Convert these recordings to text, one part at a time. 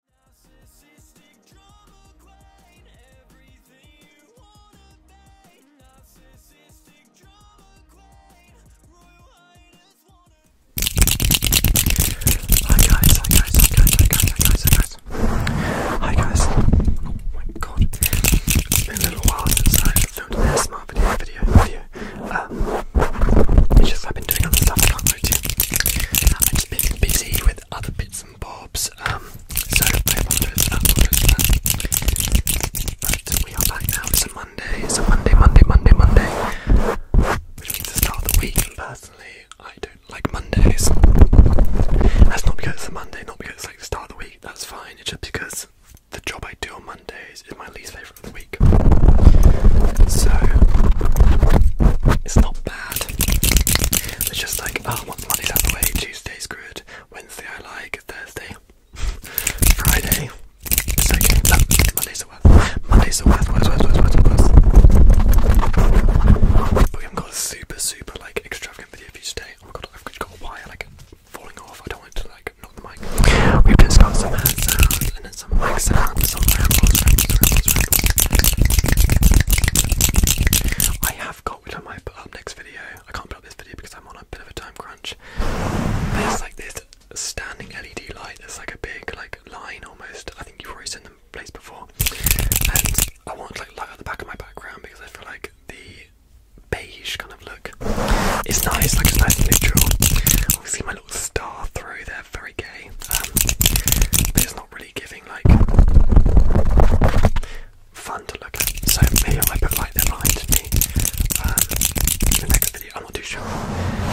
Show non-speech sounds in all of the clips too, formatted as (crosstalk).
Hi guys, hi guys, hi guys, hi guys, hi guys, hi guys. Hi guys. Oh my god. been a little while since I filmed an ASMR video video video. Um just I've been doing other stuff I've just been busy with other bits and bobs, um, so I apologise for that, apologise But we are back now, it's a Monday, it's a Monday, Monday, Monday, Monday, which means the start of the week, personally, I don't like Mondays. That's not because it's a Monday, not because it's like the start of the week, that's fine, it's just because the job I do on Mondays is my least favourite of the week. So, it's not bad. They're just like, oh, Monday's out the way, Tuesday's good, Wednesday I like, Thursday, (laughs) Friday, it's okay, no, Monday's the worst, Monday's the worst, worst, worst, worst, worst, worst. But we haven't got a super, super, like, extravagant video for you today. Oh my god, I've got a wire, like, falling off, I don't want it to, like, knock the mic. We've just got some hand sounds and then some like I have got, which I put up next video. I can't put up this video because I'm on a bit of a time crunch. There's like this standing LED light that's like a big like line almost. I think you've already seen them placed before. And I want like light at the back of my background because I feel like the beige kind of look. It's nice, like it's nice and neutral. Obviously my little star through there very gay. Um, it's not really giving like fun to look at. So me, I put like they're lying to me. Um, the next video, I'm not too sure.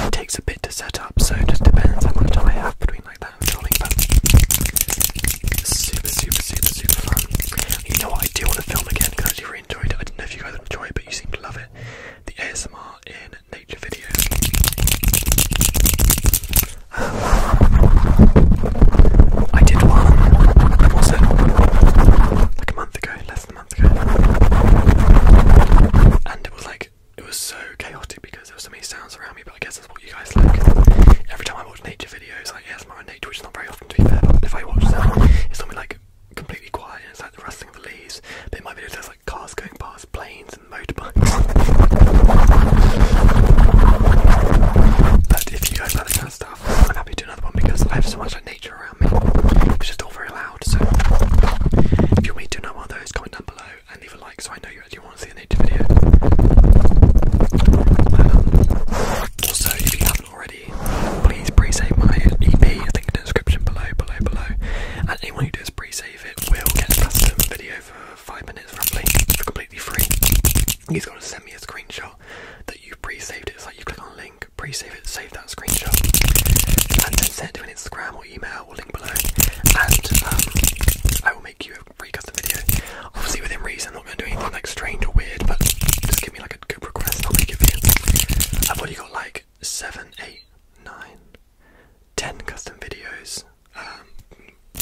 It takes a bit to set up, so it just depends how much time I have between like that and filming. But super, super, super, super fun. You know what? I do want to film again because I really enjoyed it. I do not know if you guys enjoyed it, but you seem to love it. The ASMR in nature videos. I did one, when was it? Like a month ago, less than a month ago. And it was like, it was so chaotic because there were so many sounds around me, but I guess that's what you guys like. Every time I watch nature videos, I ASMR my nature, which is not very often to be fair, but if I watch them, it's something like completely quiet it's like the rustling of the leaves. But in my videos, like cars going past, planes and motorbikes. But if you guys like that stuff, I'm happy to do another one because I have so much like nature around me, which is all very loud. So if you want me to do another one of comment down below and leave a like so I know you actually want to see a nature video. Um, also, if you haven't already, please pre-save my EP. I think in the description below, below, below anyone who does pre-save it will get a custom video for five minutes roughly for completely free. He's got to send me a screenshot that you pre-saved it. It's like you click on a link, pre-save it, save that screenshot, and then send it to an Instagram or email or link below, and um, I will make you a free custom video. Obviously within reason, I'm not going to do anything like strange or weird, but just give me like a good request, I'll make it for you. I've already got like seven, eight, nine, ten custom videos. Um,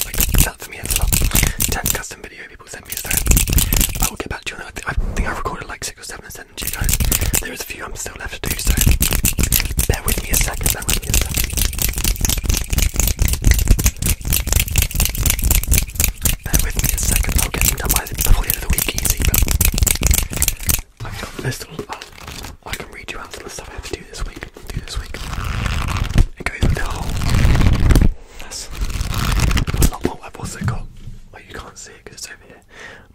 like that for me is a lot. Ten custom video people sent me, I will get back to you I think i recorded like six or seven and sent to you guys. There is a few I'm still left to do, so bear with me a second. Bear with me a second. Bear with me a second. I'll get them done by the, before of the week, easy. I've got a list I can read you out the list stuff I have to do this week. Do this week. It goes with the whole. That's not what I've also got. Well, you can't see it because it's over here.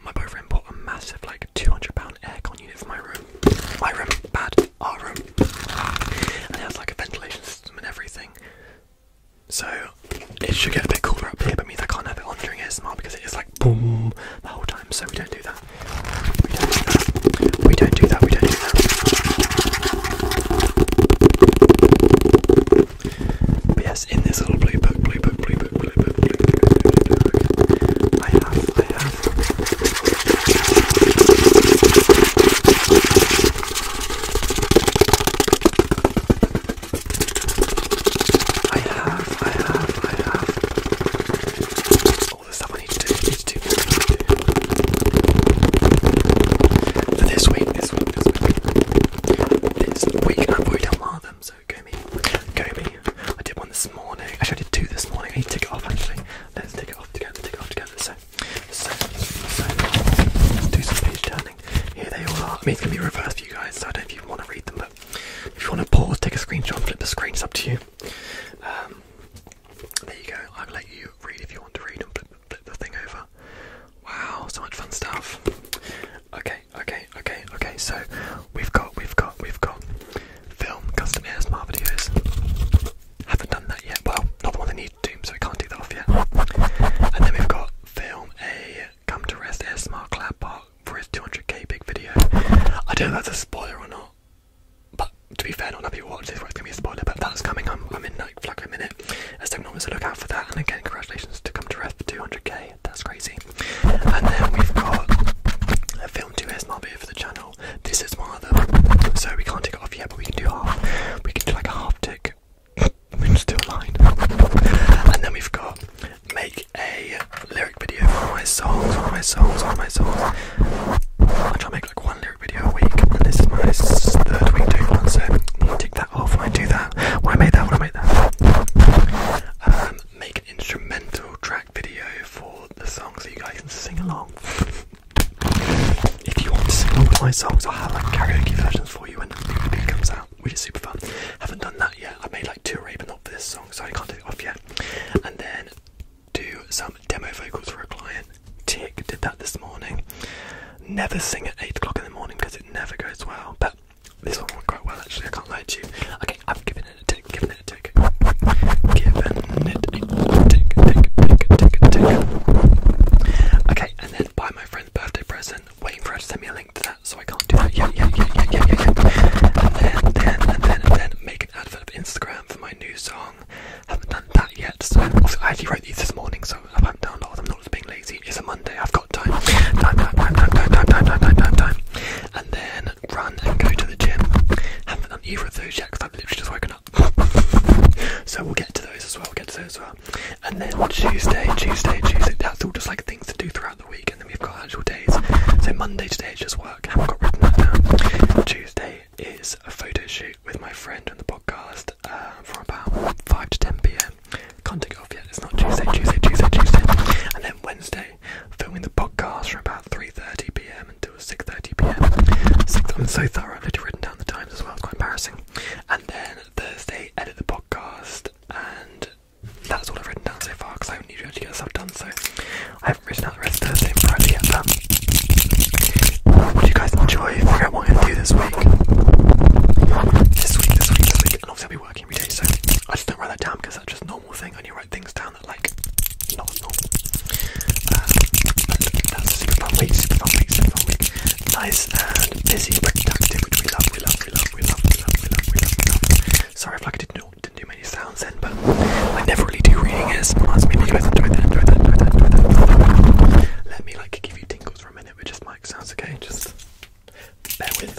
My boyfriend bought a massive, like, two hundred pound aircon unit for my room. My room, bad, our room, and it has like a ventilation system and everything. So it should get a bit cooler up here, but means I can't have it on during ASMR because it is like boom the whole time. So we don't do that. We don't do that. We don't do that. We don't do that. But yes, in this little blue book, blue book, blue book, blue book, blue book, blue book, I have, I have. I have, I have, I have all the stuff I need to do, I need to do, need to do. For this week, this week, this week. This week I've already done one of them, so go me. Go me. I did one this morning. Actually I did two this morning. I need to take it off actually. Let's take it off together, take it off together. So so so let's do some page turning. Here they all are. I mean, it's going to be reversed for you guys, so I don't know if you want to read them, but if you want to pause, take a screenshot, flip the screen, it's up to you. Um, there you go. I'll let you read if you want to read and flip, the thing over. Wow, so much fun stuff. Okay, okay, okay, okay. So we've got, we've got, we've got film custom ASMR videos. Haven't done that yet. Well, not the one I need to do, so we can't do that off yet. And then we've got film a Come to Rest ASMR Cloud Park for his 200k big video. I don't know if that's a spoiler or not, but to be fair, I'll not everybody watches this where it's going to be a spoiler, but that's coming. I'm, I'm in like, like a minute. As technology, so look out for that. And again, congratulations to Come to Rest for 200k. That's crazy. And then we've got a film 2 ASMR here for the channel. This is one of them, so we can't take it off yet, but we can do half. We can do like a half tick (coughs) I'm still lying. and then we've got make a lyric video for my songs, for my songs, for my songs. I try to make like one lyric video a week, and this is my third week doing one, so take that off when I do that. When I make that, when I make that. Um, make an instrumental track video for the song so you guys can sing along. if you want to sing along with my songs, I'll have like karaoke versions for you when the DVD comes out which is super fun. Haven't done that yet. I made like two already, but not for this song, so I can't do it off yet. And then do some demo vocals for a client. Tick did that this morning. Never sing at eight o'clock in the morning because it never goes well. But this one went quite well actually. I can't lie to you. Okay, I've given it a tick. Given it a tick. Given it a tick. Tick. Tick. Tick. Tick. tick. Okay, and then buy my friend's birthday present waiting for her to send me a link to that, so I can't do that. yet. Yet, yet, yet, yet, yet, yet, then, then, and then, and then make an advert of Instagram for my new song. Haven't done that yet. So I actually wrote these this morning, so I haven't done a lot. of them. not as being lazy. It's a Monday. I've got time. Time, time, time, time, time, time, time, time, time, And then run and go to the gym. Haven't done either of those yet because I've literally just woken up. (laughs) so we'll get to those as well. We'll get to those as well. And then Tuesday, Tuesday, Tuesday, that's all just like things to do throughout the week. And then we've got actual days. So Monday today is just work. I haven't got written down. Tuesday is a photo shoot with my friend on the podcast uh, for about 5 to 10 pm. Can't take off yet. It's not Tuesday, Tuesday, Tuesday, Tuesday. And then Wednesday, filming the podcast from about 3.30 pm until 6.30 pm. i I'm so thoroughly written down the times as well. It's quite embarrassing. And then Thursday, edit the podcast, and that's all I've written down so far because I haven't usually to get stuff done, so I haven't written out the rest Thursday Friday yet. But would you guys enjoy what I'm to do this week? This week, this week, this week, and obviously I'll be working every day, so I just don't write that down because that's just normal thing. I only write things down that like not normal. Um, super fun week, super fun week, super fun week nice and busy, productive, which we love, we love, we love, we love, we love, we love, we love, we love. Sorry if like I didn't do, didn't do many sounds then, but I never really do reading ASMRs. Maybe you guys enjoy that, enjoy that, enjoy that, enjoy that. Let me like give you tingles for a minute with just mic sounds, okay? Just bear with.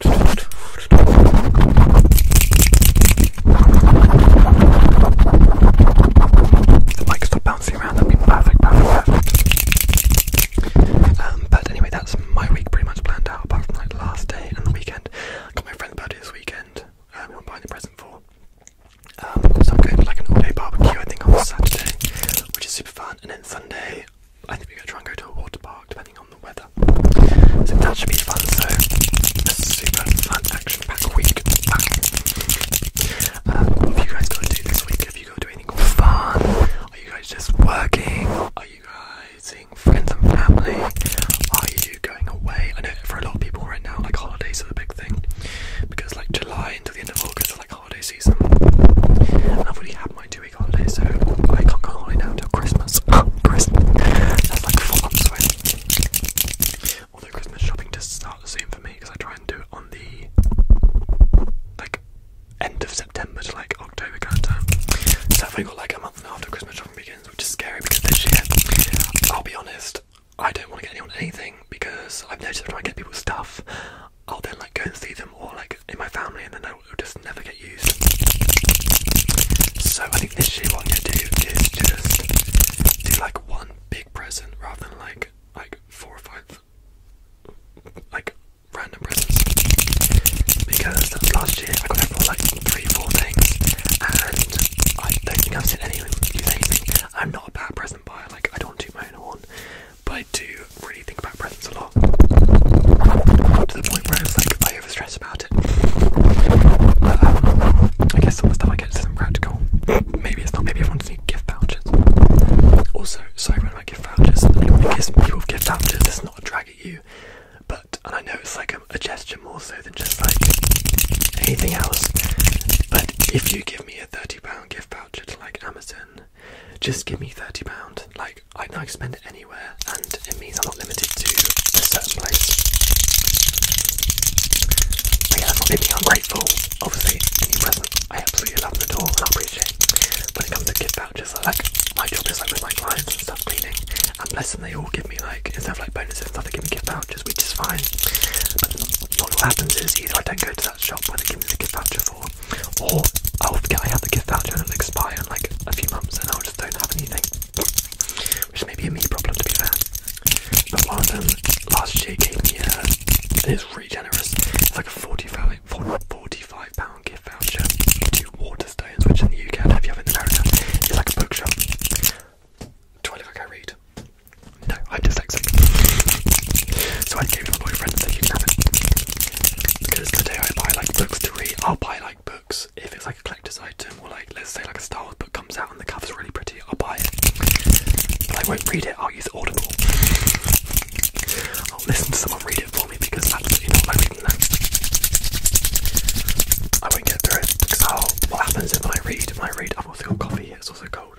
The mic stop bouncing around, that'd be perfect, perfect, um, but anyway, that's my week pretty much planned out, apart from like last day and the weekend. I got my friend's birthday this weekend, um, I'm buying a present for. Um, so I'm going for like an all-day barbecue, I think, on Saturday, which is super fun. And then Sunday, I think we're going to try and go to a water park depending on the weather. So that should be fun. So, super fun action pack week. Um, what have you guys got to do this week? Have you got to anything fun? Are you guys just working? Are you guys seeing friends and family? Are you going away? I know for a lot of people right now, like holidays are the big thing because like July until the end of August are like holiday season. And have already had two week holiday, so I can't go holiday now until Christmas. (laughs) Christmas. That's like four months Although Christmas shopping does start soon for me because I try and do it on the like end of September to like October kind So i got like a month and a half till Christmas shopping begins, which is scary because this year, I'll be honest, I don't want to get anyone anything because I've noticed trying to get people stuff, I'll then like go and see them or like in my family and then I will just never get used. So I think this year what I'm gonna do is just do like one big present rather than like like four or five like random presents. Because last year I got like three or four things and I don't think I've seen anyone use anything. I'm not a bad present buyer, like I don't do my own horn, but I do do really think about presents a lot. To the point where it's like I stress about it. But, um, I guess some of the stuff I get isn't Maybe it's not. Maybe everyone's need gift vouchers. Also, sorry about gift vouchers. Anyone who gives people gift vouchers, it's not a drag at you. But and I know it's like a gesture more so than just like anything else. But if you give me a thirty pound gift voucher to like Amazon, just give me £30. Like, I can spend it anywhere, and it means I'm not limited to a certain place. But yeah, not anything i Obviously, any present, I absolutely love the door, and I appreciate it. When it comes to gift vouchers, I like, my job is like with my clients and stuff cleaning, and bless them, they all give me like, instead of like bonuses and stuff, they give me gift vouchers, which is fine. But what happens is either I don't go to that shop where they give me the gift voucher for, or I will forget I have the gift voucher and it'll expire in like a few months and I will just don't have anything. Which may be a me problem to be fair. But one of them last year gave me a it's really generous. It's like a 45, pound gift voucher to Waterstones, which in the UK I don't know if you have in America. It's like a bookshop. Do I look like I read? No, I'm dyslexic. So I gave it to my boyfriend and said you can have it. Because the day I buy like books to read, I'll buy like books if it's like a collector's item or like let's say like a Star Wars book comes out and the cover's really pretty, I'll buy it. But I won't read it, I'll use Audible. I'll listen to someone read it for me because absolutely not like reading that. I won't get through it because what happens if I read, If I read I will feel coffee, it's also cold.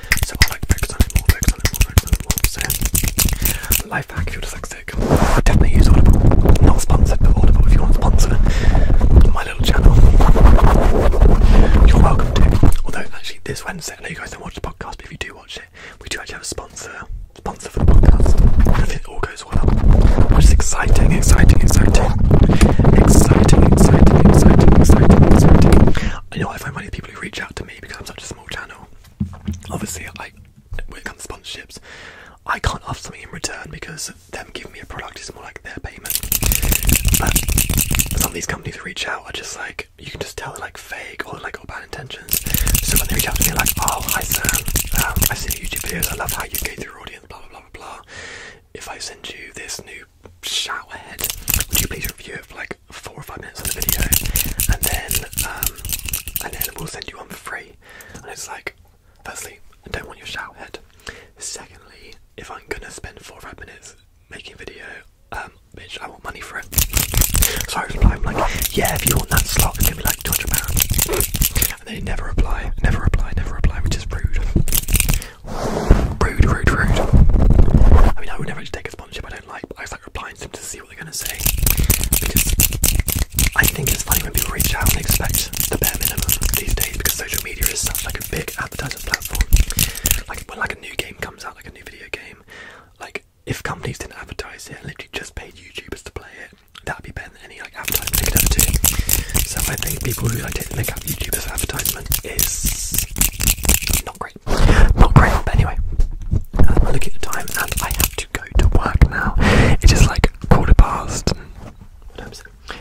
So i like focus on it more, focus on it more, focus on it more. So life hack if you're dyslexic. definitely use Audible. Not sponsored, but Audible if you want to sponsor my little channel. You're welcome Although actually this Wednesday, I you guys don't watch the podcast, but if you do watch it, we do actually have a sponsor sponsor for the podcast. If it all goes well. Which is exciting, exciting, exciting. Exciting, exciting, exciting, exciting, exciting. I know I find many people reach out to me because I'm such a small channel. Obviously, like when it comes to sponsorships, I can't offer something in return because them giving me a product is more like their payment. But some of these companies who reach out are just like you can just tell they're like fake or like got bad intentions. So when they reach out to me, like, oh hi Sam, um, I see YouTube videos, I love how you engage your audience, blah blah blah blah. If I send you this new showerhead. Would you please review it for like four or five minutes of the video, and then um, and then we'll send you one for free. And it's like, firstly, I don't want your showerhead. Secondly, if I'm gonna spend four or five minutes making video, um, bitch, I want money for it. So I reply, I'm like, yeah, if you want that slot, give me like two hundred pounds. And they never reply, never reply, never reply, which is rude. Rude, rude, rude. I mean, I would never take a sponsorship I don't like, but I just replying to them to see what they're going to say. Because I think it's funny when people reach out and expect the bare minimum these days because social media is such like a big advertising platform. Like when like a new game comes out, like a new video game, like if companies didn't advertise it and literally just paid YouTubers to play it, that'd be better than any like advertisement they could ever do. So I think people who like did look up YouTubers' advertisement is not great. Not great, but anyway. Um, I look at the time and I have to go to work now. It is like quarter past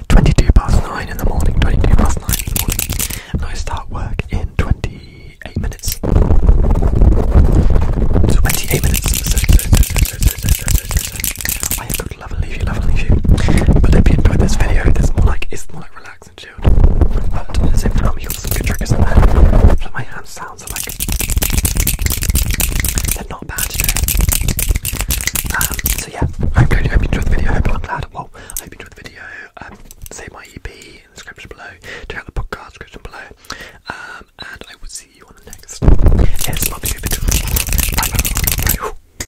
22 past 9 in the morning, 22 past 9 in the morning. I start work in 28 minutes. 28 minutes love and leave you, love and leave you. But if you enjoyed this video, it's more like it's more like relaxed and But at the same time, you got some good triggers in there. Like my hand sounds like they're not bad um, so yeah, I hope you enjoyed the video. I am glad. Well, I hope you enjoyed the video. Um, my EP in the description below. Check out the podcast description below. Um, and I will see you on the next. Yes, love you. Bye.